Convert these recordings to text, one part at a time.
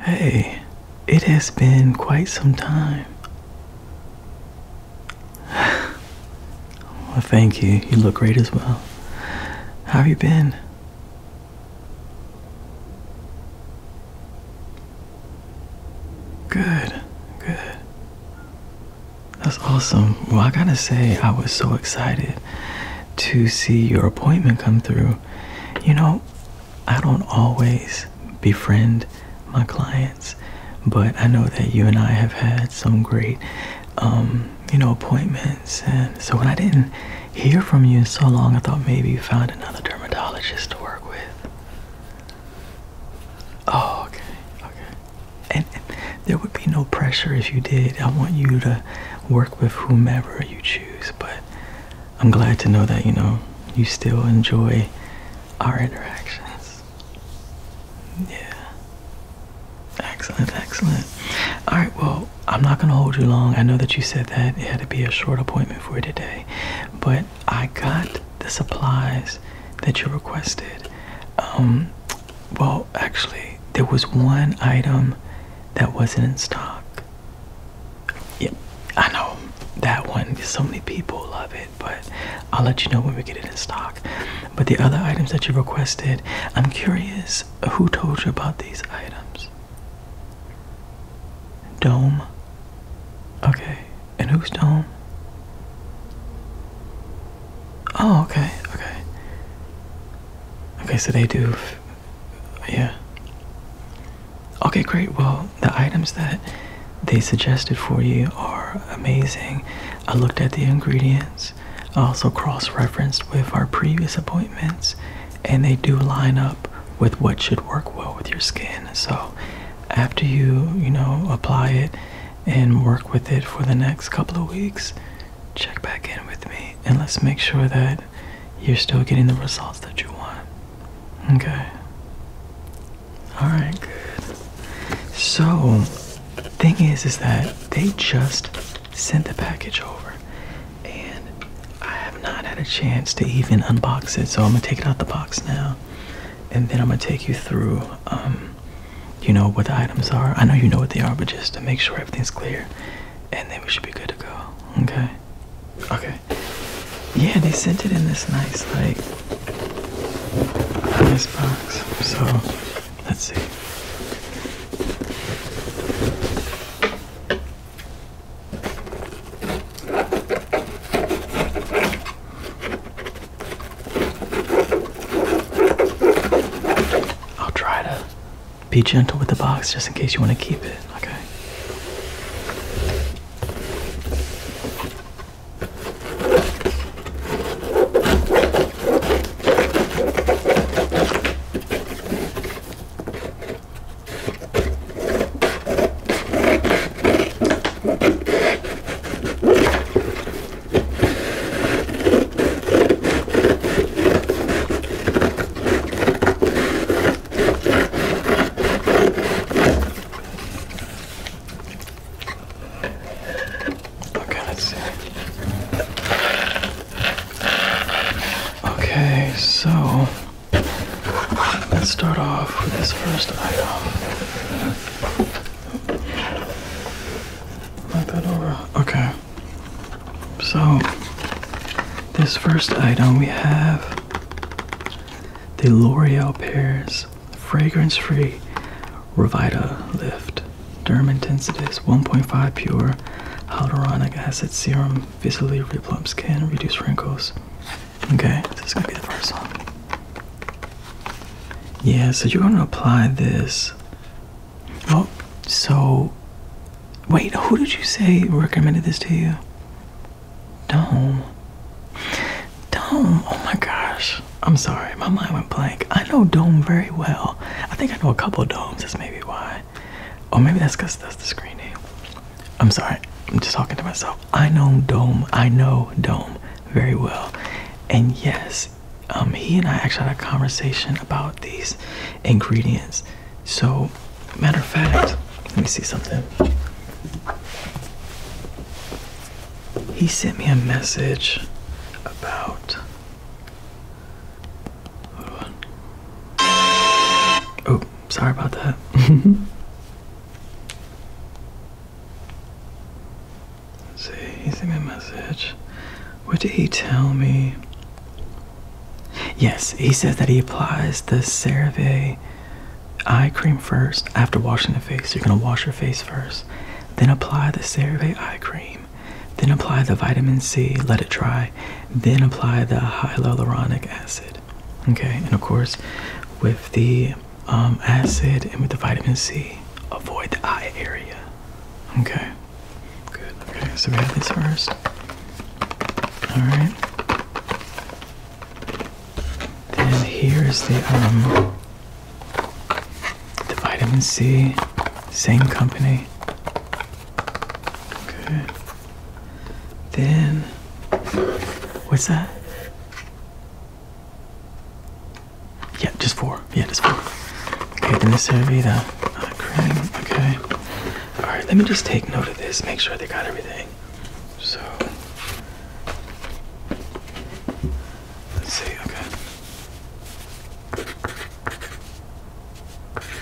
Hey, it has been quite some time. thank you. You look great as well. How have you been? Good, good. That's awesome. Well, I gotta say, I was so excited to see your appointment come through. You know, I don't always befriend my clients, but I know that you and I have had some great, um, you know, appointments. And so when I didn't hear from you in so long, I thought maybe you found another dermatologist to work with. Oh, okay, okay. and there would be no pressure if you did. I want you to work with whomever you choose, but I'm glad to know that, you know, you still enjoy our interactions. Yeah. Excellent, excellent. All right, well, I'm not going to hold you long. I know that you said that it had to be a short appointment for today, but I got the supplies that you requested. Um, well, actually, there was one item that wasn't in stock. Yep, I know that one. So many people love it, but I'll let you know when we get it in stock. But the other items that you requested, I'm curious who told you about these items? Dome? Okay, and who's Tom? Oh, okay, okay. Okay, so they do. Yeah. Okay, great. Well, the items that they suggested for you are amazing. I looked at the ingredients, I also cross referenced with our previous appointments, and they do line up with what should work well with your skin. So after you, you know, apply it and work with it for the next couple of weeks, check back in with me and let's make sure that you're still getting the results that you want. Okay. All right, good. So, thing is is that they just sent the package over and I have not had a chance to even unbox it, so I'm going to take it out the box now and then I'm gonna take you through, um, you know, what the items are. I know you know what they are, but just to make sure everything's clear, and then we should be good to go. Okay. Okay. Yeah, they sent it in this nice, like, nice box. So, let's see. I'll try to be gentle with the box just in case you want to keep it, okay? Okay, let's see. Okay, so Let's start off with this first item. Let that over. Okay. So, this first item we have the L'Oreal Paris Fragrance Free Revita Lift Derm Intensity 1.5 Pure Hyaluronic Acid Serum Visibly Replump Skin Reduce Wrinkles. Okay, this is gonna be the first one. Yeah, so you're gonna apply this. Oh, so wait, who did you say recommended this to you? Dome. Dome, oh my gosh. I'm sorry, my mind went blank. I know Dome very well. I think I know a couple of Domes, that's maybe why. Or maybe that's because that's the screen name. I'm sorry, I'm just talking to myself. I know Dome, I know Dome very well. And yes, um, he and I actually had a conversation about these ingredients. So, matter of fact, let me see something. He sent me a message about. Hold Oh, sorry about that. see, he sent me a message. What did he tell me? Yes, he says that he applies the CeraVe eye cream first after washing the face. You're going to wash your face first, then apply the CeraVe eye cream, then apply the vitamin C, let it dry, then apply the hyaluronic acid. Okay, and of course, with the um, acid and with the vitamin C, avoid the eye area. Okay, good. Okay, so we have this first. All right. Then here is the um, the vitamin C, same company. Good. Then, what's that? Yeah, just four. Yeah, just four. Okay, then this would be the uh, uh, cream. Okay. All right, let me just take note of this. Make sure they got everything. So, let's see. Okay.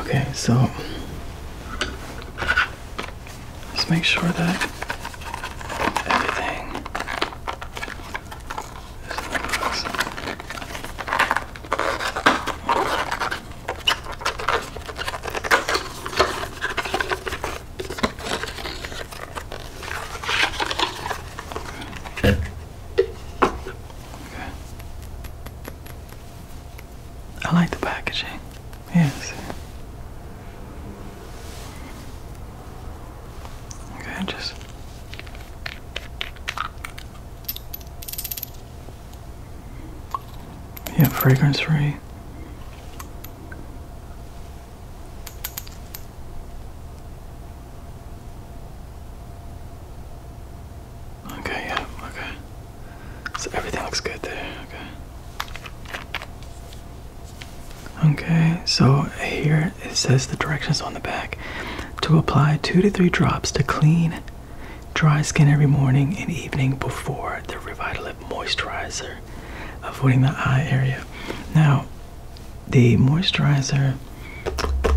Okay, so let's make sure that everything is in the Okay. I like the packaging. Yes. Okay, just yeah, fragrance free. Okay, yeah, okay. So everything looks good there, okay. Okay, so here it says the directions on the back to apply two to three drops to clean dry skin every morning and evening before the Revitalift moisturizer, avoiding the eye area. Now, the moisturizer,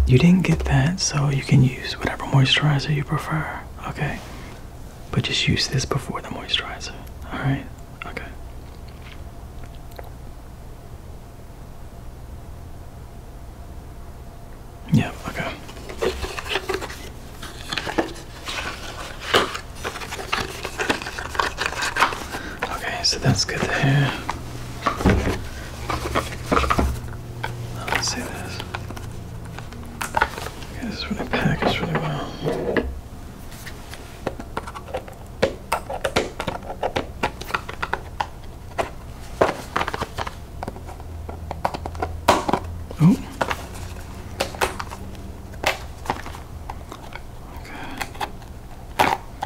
you didn't get that, so you can use whatever moisturizer you prefer, okay? But just use this before the moisturizer, alright? Okay. Yeah, okay. Okay, so that's good there. Now let's see this. Okay, this is really packaged really well. Oh. Okay.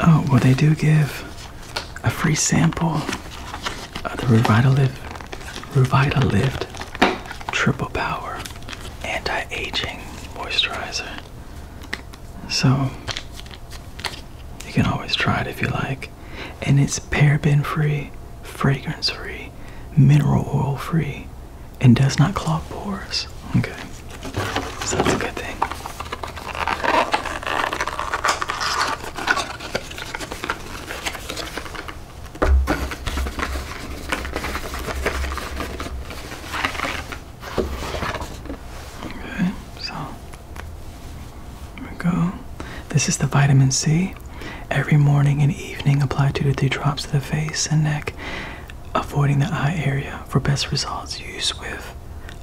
Oh, well, they do give a free sample of the Revitalift, Revitalift Triple Power Anti Aging Moisturizer. So, you can always try it if you like. And it's paraben free, fragrance free, mineral oil free, and does not clog pores. Okay. So that's a good thing. Okay, so there we go. This is the vitamin C. Every morning and evening, apply two to three drops to the face and neck avoiding the eye area for best results used with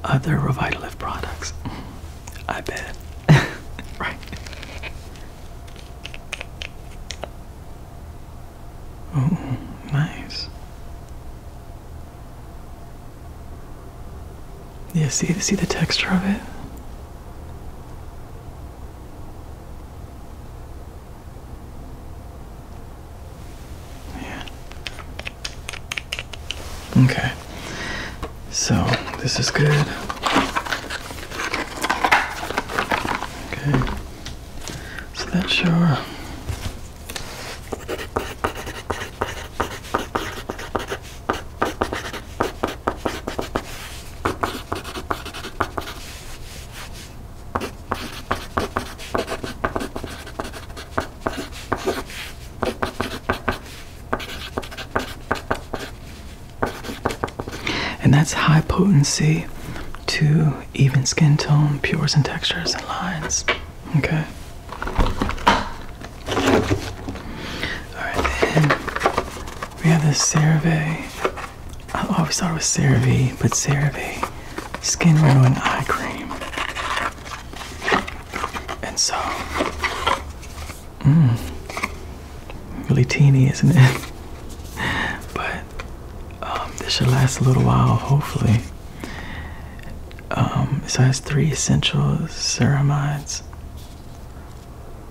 other Revitalift products. I bet. right. Oh, nice. Yeah, see, see the texture of it? Man. Okay. So, this is good. Okay. So that's shower. And that's high potency to even skin tone, pures and textures and lines. Okay. Alright, then we have the survey I always thought it was CeraVe, but CeraVe Skin Renewing Eye Cream. And so, mmm, really teeny, isn't it? but um, this should last a little while, hopefully. Um, it has three essential ceramides.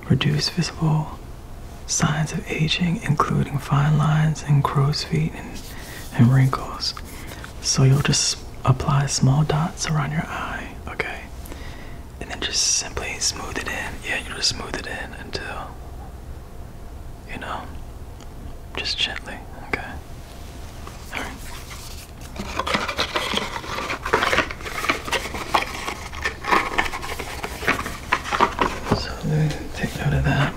Reduce visible signs of aging, including fine lines and crow's feet and and wrinkles. So you'll just apply small dots around your eye, okay? And then just simply smooth it in. Yeah, you just smooth it in until, you know, just gently, okay? Alright. So, take note of that.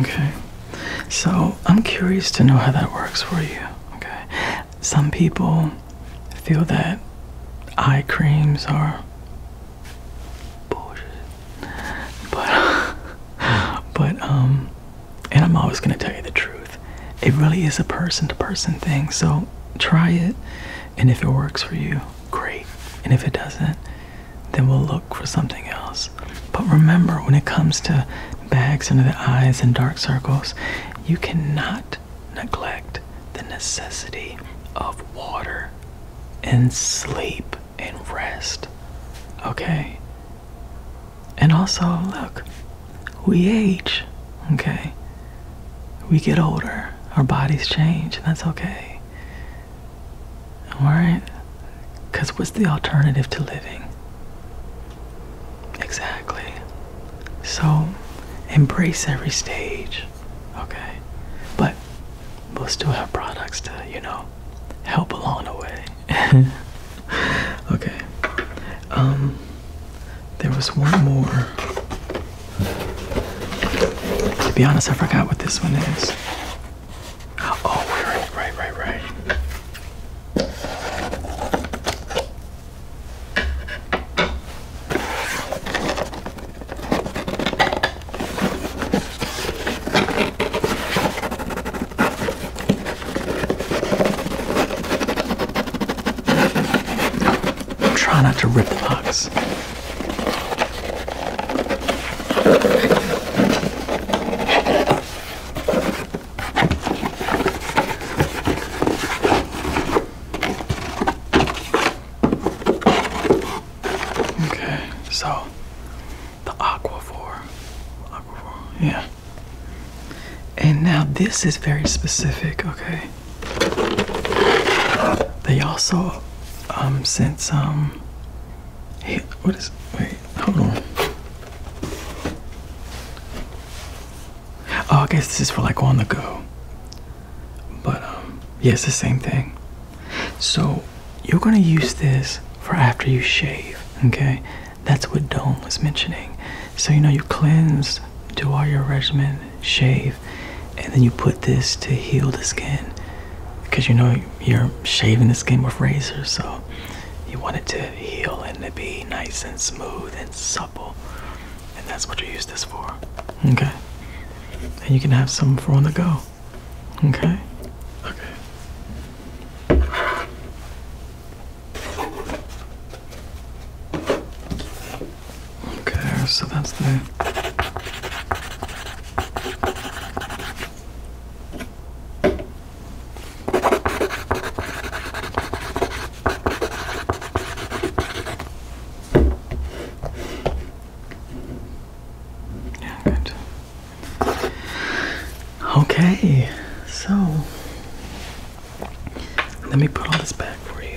Okay, so I'm curious to know how that works for you. Okay, some people feel that eye creams are bullshit. But, but um, and I'm always gonna tell you the truth. It really is a person-to-person -person thing. So try it, and if it works for you, great. And if it doesn't, then we'll look for something else. But remember, when it comes to bags under the eyes and dark circles, you cannot neglect the necessity of water and sleep and rest. Okay? And also, look, we age. Okay? We get older. Our bodies change. And that's okay. Alright? Because what's the alternative to living? Exactly. So, embrace every stage. Okay? But We'll still have products to you know help along the way okay um there was one more to be honest i forgot what this one is oh right right right right Try not to rip the box. Okay, so the aquaphor, aquaphor, yeah. And now this is very specific, okay. They also um, sent some. Hey, what is? Wait, hold on. Oh, I guess this is for like on the go. But um, yes, the same thing. So you're gonna use this for after you shave, okay? That's what Dome was mentioning. So you know you cleanse, do all your regimen, shave, and then you put this to heal the skin. Because you know you're shaving the skin with razors, so you want it to heal and to be nice and smooth and supple and that's what you use this for. Okay. And you can have some for on the go. Okay. Okay. Okay, so that's the yeah, good. Okay, so let me put all this back for you.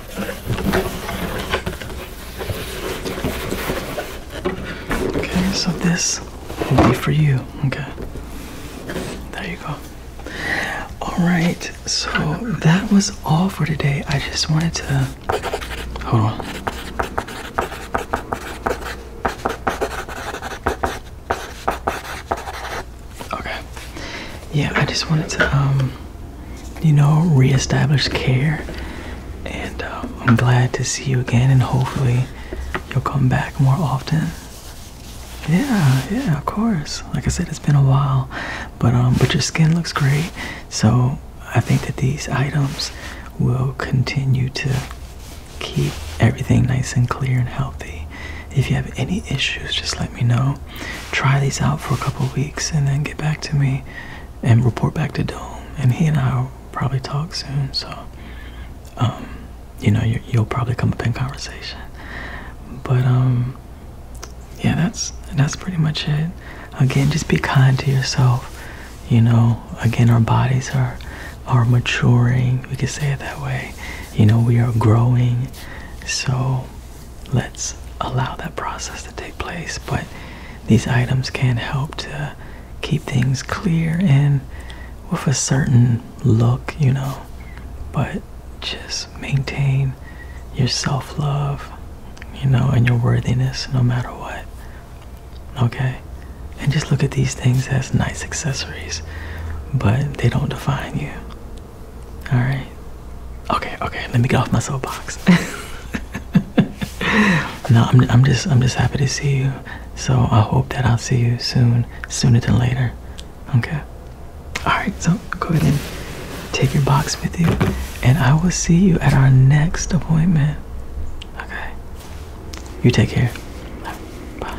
Okay, so this will be for you. Okay. There you go. Alright, so that was all for today. I just wanted to. Hold on. Okay. Yeah, I just wanted to, um you know, reestablish care. And uh, I'm glad to see you again, and hopefully, you'll come back more often. Yeah, yeah, of course. Like I said, it's been a while, but um, but your skin looks great. So I think that these items will continue to keep everything nice and clear and healthy. If you have any issues, just let me know try these out for a couple weeks and then get back to me and report back to Dome. And he and I will probably talk soon. So, um, you know, you, will probably come up in conversation. But, um, yeah, that's that's pretty much it. Again, just be kind to yourself. You know, again, our bodies are are maturing. We could say it that way. You know, we are growing. So let's allow that process to take place. But these items can help to keep things clear and with a certain look, you know. But just maintain your self love, you know, and your worthiness no matter what. Okay? And just look at these things as nice accessories, but they don't define you. All right. Okay. Okay. Let me get off my soapbox. no, I'm, just I'm just happy to see you. So I hope that I'll see you soon, sooner than later. Okay. All right. So go ahead and take your box with you, and I will see you at our next appointment. Okay. You take care. Bye.